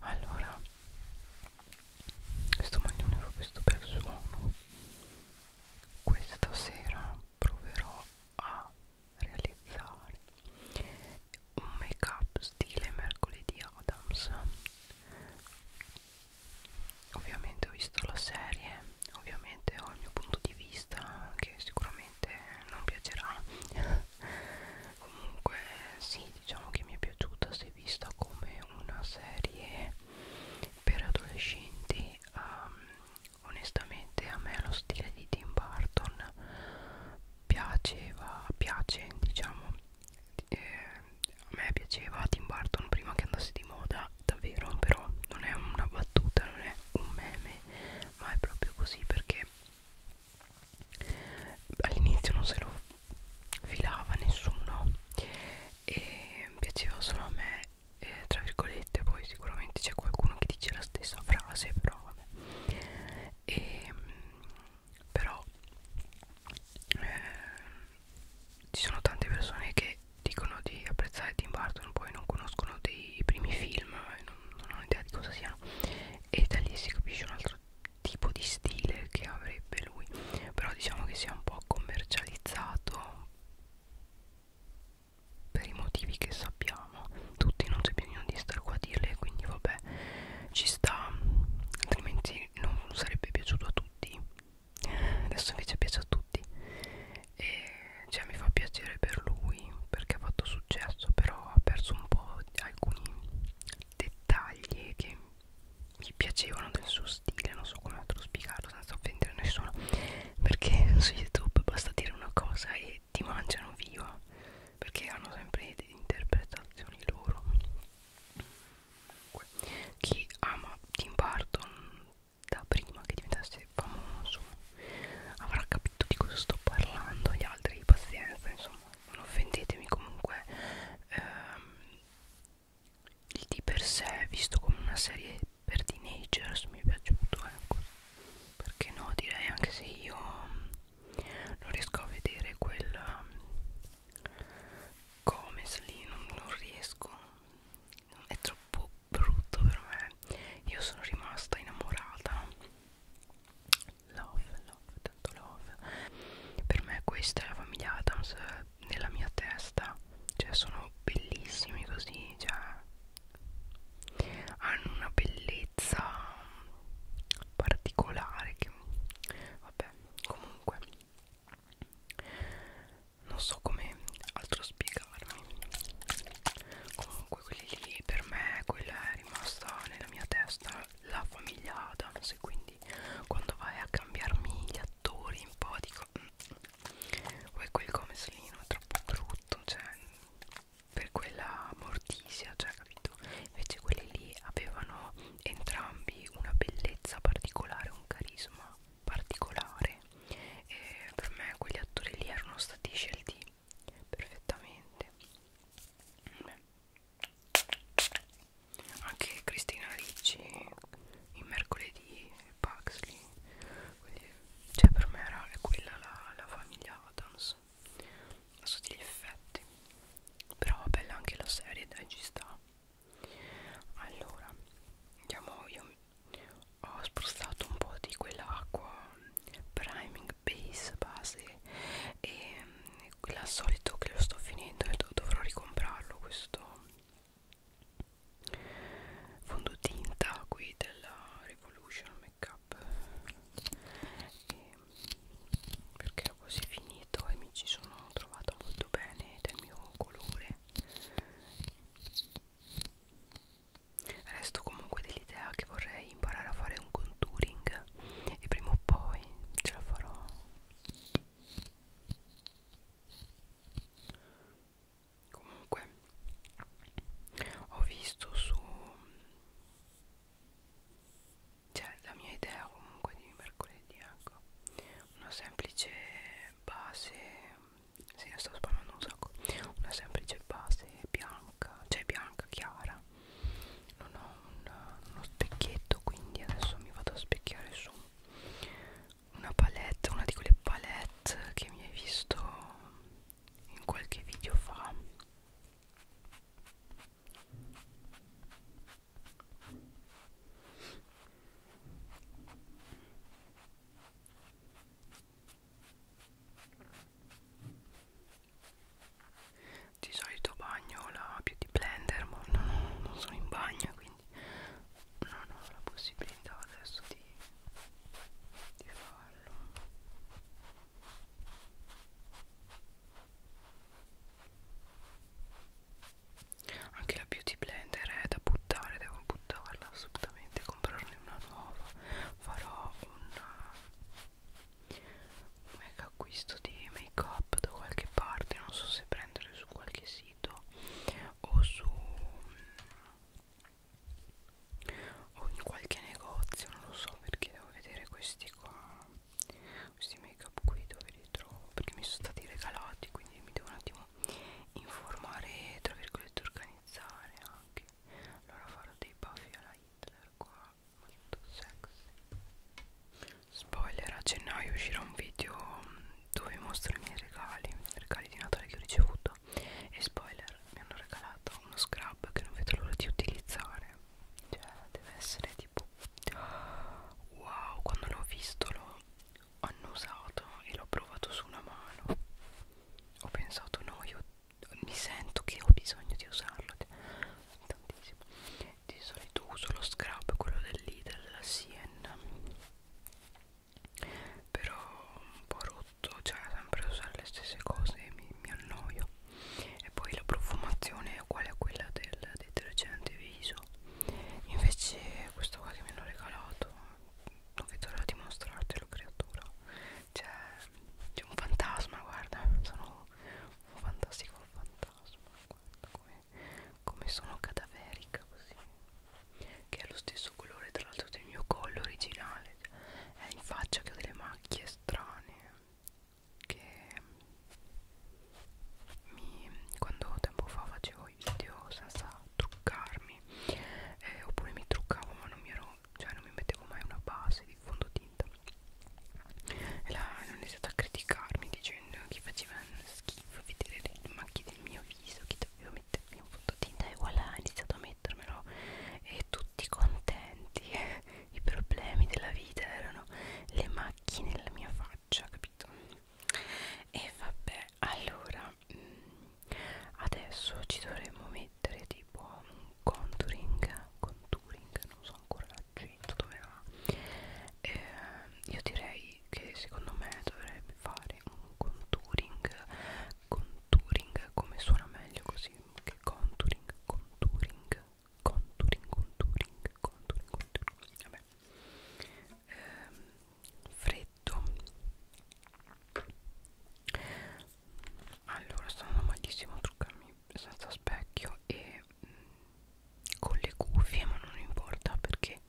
allora questo maglione è proprio stupendo suono questa sera proverò a realizzare un make up stile mercoledì Adams ovviamente ho visto la serie ovviamente ho il mio punto di vista che sicuramente non piacerà comunque sì diciamo che mi è piaciuta si è vista come una serie per adolescenti um, onestamente a me lo stile di Tim Burton piaceva piace diciamo eh, a me piaceva Tim Burton prima che andasse di moda davvero però non è una battuta non è un meme ma è proprio così perché all'inizio non se lo filava nessuno e piaceva solo a me eh, tra virgolette poi sicuramente c'è qualcuno che dice la stessa frase però vabbè e, ehm, però eh, ci sono tante persone che dicono di apprezzare Tim Burton poi non conoscono dei primi film non, non ho idea di cosa siano e da lì si capisce un altro tipo di stile che avrebbe lui però diciamo che sia un po' commercializzato per i motivi che sappiamo tutti non c'è bisogno di stare qua a dirle quindi vabbè ci sta altrimenti non sarebbe piaciuto a tutti adesso invece piace a tutti e cioè mi fa piacere per lui perché ha fatto successo però ha perso un po' alcuni dettagli che mi piacevano del suo stile non so come altro spiegarlo senza offendere nessuno perché su youtube basta dire una cosa e ti mangiano viva perché hanno sempre delle interpretazioni loro Comunque, chi ama Tim Burton da prima che diventasse famoso avrà capito di cosa sto parlando gli altri pazienza insomma non offendetemi comunque ehm, di per sé visto come una serie per teenagers mi è piaciuto ecco perché no direi anche se io mm, non riesco a vedere quel comes mm, lì non, non riesco è troppo brutto per me io sono rimasta innamorata love, love, tanto love per me questa è la famiglia Adams nella mia testa cioè sono bellissimi così cioè hanno una bellezza particolare che vabbè comunque non so come altro spiegarmi comunque quelli lì per me quella è rimasta nella mia testa la famiglia Adams cose quindi quando vai a cambiarmi gli attori un po' dico poi mm, quel Gomez lì è troppo brutto cioè per quella mortisia cioè capito invece quelli lì avevano entrambi una bellezza particolare un carisma particolare e per me quegli attori lì erano stati scelti perfettamente Beh. Mm anche Cristina Ricci in mercoledì e Paxley Quindi, cioè per me era quella la, la famiglia Adams a tutti gli effetti però bella anche la serie dai ci sta allora andiamo io ho spostato un po' di quell'acqua priming base base e la solito che lo sto finendo e dovrò ricomprarlo questo fondotinta qui della Revolution Makeup e perché l'ho così finito e mi ci sono trovata molto bene del mio colore resto comunque dell'idea che vorrei imparare a fare un contouring e prima o poi ce la farò comunque ho visto su cioè la mia idea comunque di mercoledì ecco una semplice base sì, sto spalmando un sacco una semplice base bianca cioè bianca chiara non ho un, uno specchietto quindi adesso mi vado a specchiare su una palette una di quelle palette che mi hai visto in qualche video fa di solito bagno la beauty blender ma non, non sono in bagno quindi non ho la possibilità adesso di, di farlo anche la beauty blender è da buttare devo buttarla assolutamente comprarne una nuova farò un mega acquisto di make up da qualche parte non so se prendere su qualche sito o su o in qualche negozio non lo so perché devo vedere questi qua questi make up qui dove li trovo perché mi sono stati regalati quindi mi devo un attimo informare tra virgolette organizzare anche allora farò dei baffi alla Hitler qua molto sexy spoiler a gennaio uscirà un video dove mostro i miei regali regali di Natale che ho ricevuto e spoiler mi hanno regalato uno scrub che non vedo l'ora di utilizzare cioè deve essere tipo wow quando l'ho visto l'ho annusato e l'ho provato su una mano ho pensato no io mi sento che ho bisogno di usarlo tantissimo di solito uso lo scrub quello dell'Idel della Sien però un po' rotto cioè sempre usare le stesse cose mi, mi annoio e poi la profumazione è uguale a quella del detergente viso invece questo qua che mi hanno regalato non vedo l'ora di mostrartelo creatura c'è cioè, un fantasma guarda sono un fantastico fantasma guarda come come, come sono cadaverica così che è lo stesso colore tra l'altro del mio collo originale è in faccia che ho delle macchie strane che mi, quando tempo fa facevo i video senza truccarmi eh, oppure mi truccavo ma non mi ero cioè non mi mettevo mai una base di fondotinta e la, hanno iniziato a criticarmi dicendo che facevano schifo vedere le macchie del mio viso che dovevo mettermi un fondotinta e voilà ho iniziato a mettermelo e tutti contenti i problemi della vita erano le macchie nella mia faccia capito e vabbè allora mm, adesso ci dovremmo mettere tipo un contouring contouring non so so ancora l'accento dove va eh, io direi che secondo me dovrebbe fare un contouring contouring come suona meglio così che contouring contouring contouring contouring contouring contouring vabbè eh, freddo allora stanno malissimo truccarmi senza specchio e mh, mm, con le cuffie ma non importa perché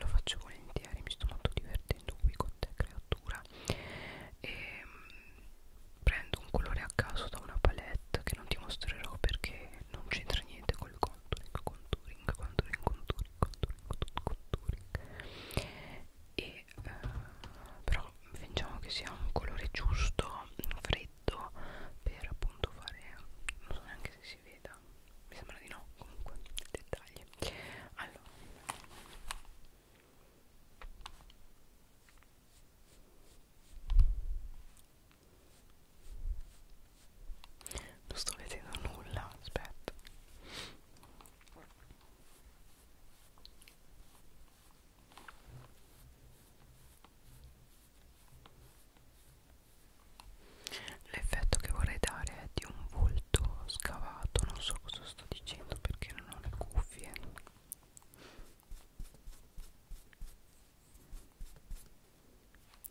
lo faccio volentieri mi sto molto divertendo qui con te creatura e ehm, prendo un colore a caso da una palette che non ti mostrerò perché non c'entra niente col contouring contouring contouring contouring contouring contouring, contouring. e eh, però fingiamo che sia un colore giusto freddo per appunto fare non so neanche se si veda mi sembra di no comunque dettagli allora non sto vedendo nulla aspetta L'effetto che vorrei dare è di un volto scavato, non so cosa sto dicendo perché non ho le cuffie.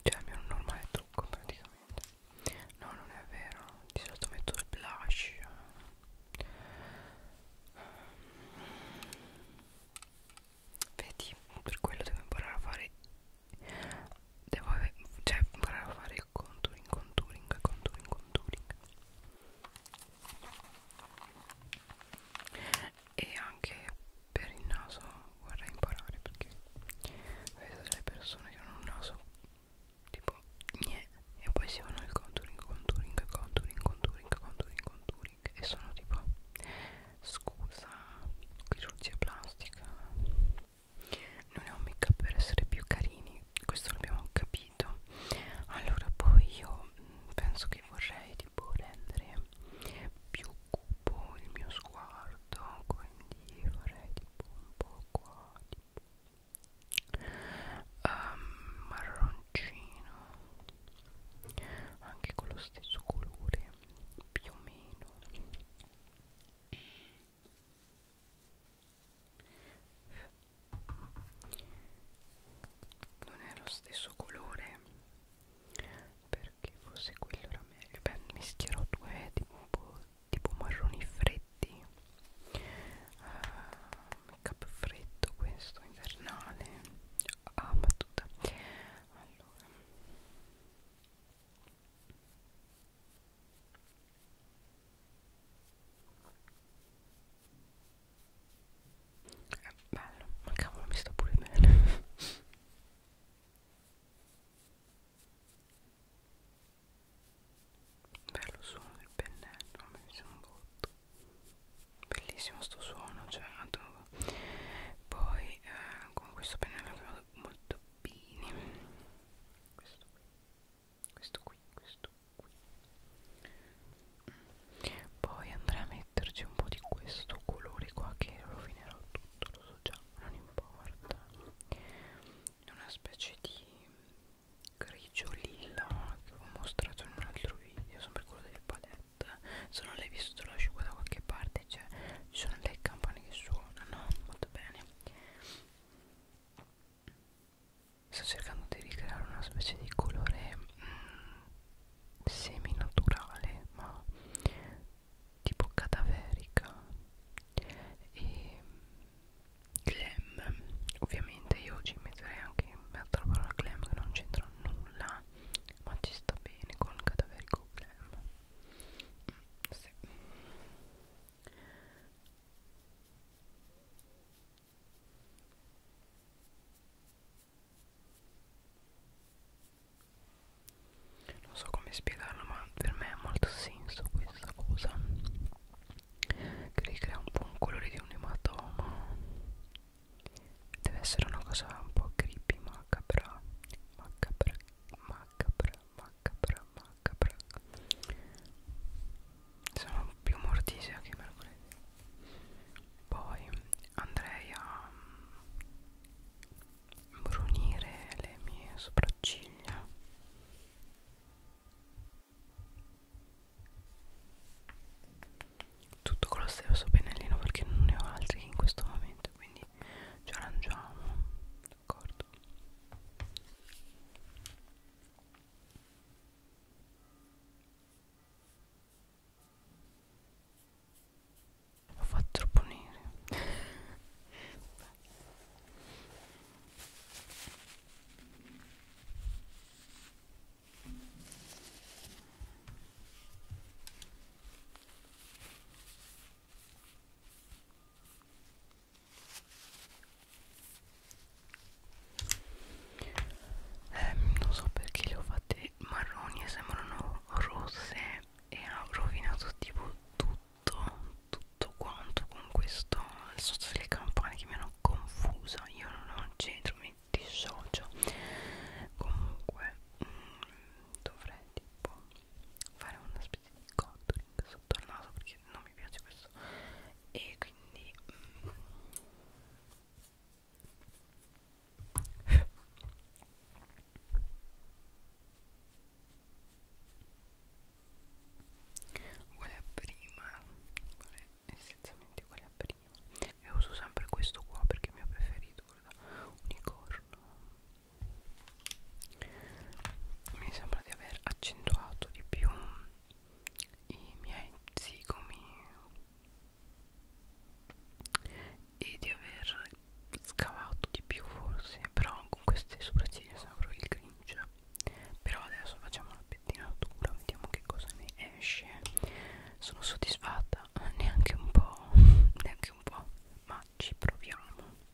Cioè, è un normale trucco praticamente. No, non è vero. Di solito metto il blush vedi per quello devo imparare a fare devo cioè imparare a fare il contouring contouring contouring contouring e anche per il naso vorrei imparare perché vedo delle persone che hanno un naso tipo niente e poi si fanno il contouring contouring contouring contouring contouring contouring e sono tipo scusa chirurgia plastica non è un make up per essere più carini questo l'abbiamo capito allora poi io mm, penso che vorrei tipo rendere più cupo il mio sguardo quindi vorrei tipo un po' qua tipo Um, marroncino anche con lo stesso colore più o meno non è lo stesso colore perché forse quello era meglio beh mischierò due tipo, tipo marroni freddi uh, ah, make up freddo questo invernale ah battuta allora è bello, ma cavolo mi sta pure bene. Bello suono del pennello, mi piace un botto. Bellissimo sto suono, cioè adoro. Poi eh, con questo pennello che vado molto bene questo qui questo qui questo qui poi andrei a metterci un po' di questo colore qua che rovinerò tutto lo so già non importa una specie di grigio lilla che ho mostrato in un altro video sempre quello delle palette se non l'hai visto te lo lascio qua da qualche parte veramente cioè, ci sono le campane che suonano molto bene sto cercando di ricreare una specie di colore mm, semi naturale ma tipo cadaverica e mm, glam ovviamente io oggi metterei anche un'altra parola glam che non c'entra nulla ma ci sta bene con cadaverico glam sì. non so come spiegarlo ma per me ha molto senso questa cosa che ricrea un po' un colore di un ematoma deve essere una cosa un po' creepy macabra macabra ma macabra, macabra, macabra sono più mortisea che mercoledì poi andrei a mm, brunire le mie sopracciglia tutto con lo stesso pennellino perché non ne ho altri in questo momento quindi ci arrangiamo d'accordo ho fatto troppo nere eh, non so perché le ho fatte marroni e sembrano rosse e ha rovinato tipo tutto tutto quanto con questo il sozzo delle campane che mi hanno confusa io non ho centro mi dissocio comunque mh, mm, dovrei tipo fare una specie di contouring sotto al naso perché non mi piace questo e quindi mm. uguale a prima uguale, essenzialmente uguale a prima e uso sempre questo qua perché è il mio preferito quello da unicorno mi sembra di aver accentuato di più i miei zigomi e di aver scavato di più forse però con queste sopracciglia sembra il cringe però adesso facciamo la pettinatura vediamo che cosa ne esce sono soddisfatta neanche un po' neanche un po' ma ci proviamo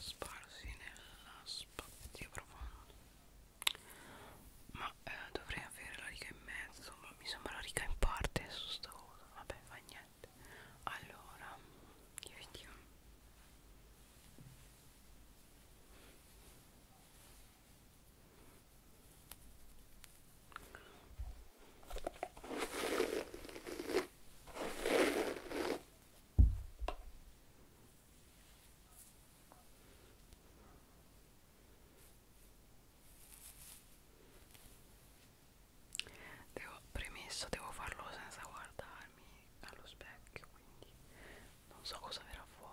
sparsi nella spazio profondo ma eh, dovrei avere la riga in mezzo ma mi sembra la riga in parte su sta cosa vabbè fa niente allora che vediamo Devo, premesso, devo farlo senza guardarmi allo specchio, quindi non so cosa verrà fuori.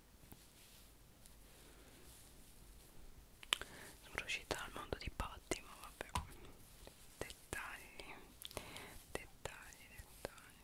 Sono riuscita al mondo di Patti, ma vabbè. Dettagli, dettagli, dettagli.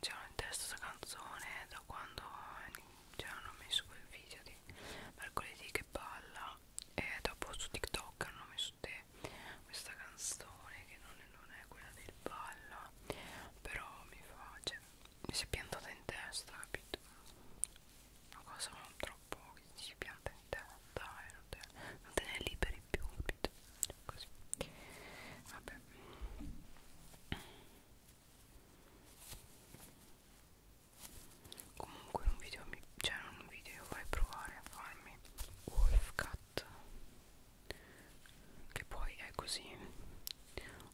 C'è un testo questa canzone da quando cioè, hanno messo quel video di mercoledì che balla e dopo su TikTok hanno messo te questa canzone che non è, non è quella del balla però mi fa cioè, mi si è piantata in testa capito una cosa troppo che ti si pianta in testa e non te, non te ne liberi più capito così vabbè comunque un video mi, cioè non un video io vorrei provare a farmi wolf cut che poi è così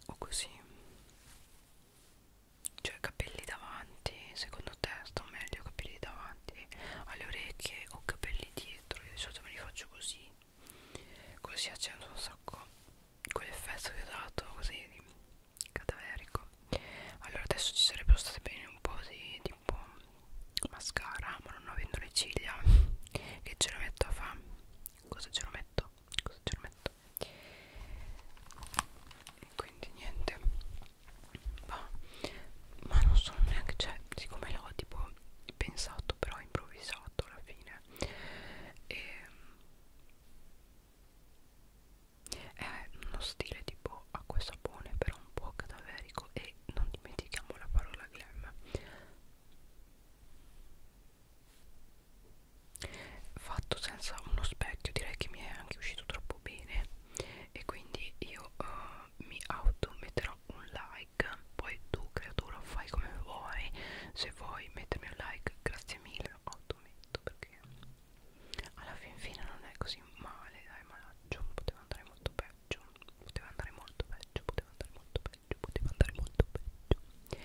o così cioè capelli davanti secondo te sto meglio capelli davanti alle orecchie o capelli dietro io di solito me li faccio così così accendo un sacco quell'effetto che ho dato così cadaverico allora adesso ci sarebbero state bene un po' di tipo mascara ma non avendo le ciglia che ce lo metto a fa cosa ce lo metto cosa ce lo metto e quindi niente ma, ma non sono neanche cioè siccome l'ho tipo pensato però improvvisato alla fine e è eh, uno stile tipo acqua e sapone però un po' cadaverico e non dimentichiamo la parola glam fatto senza uno specchio direi che mi è anche uscito troppo bene e quindi io uh, mi auto metterò un like like poi tu creatura fai come vuoi se vuoi mettermi un like grazie mille ho tu metto perché alla fin fine non è così male dai malaccio poteva andare molto peggio poteva andare molto peggio poteva andare molto peggio poteva andare molto peggio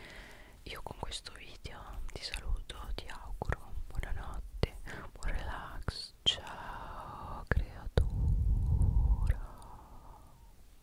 io con questo video ti saluto ti auguro buonanotte buon relax ciao creatura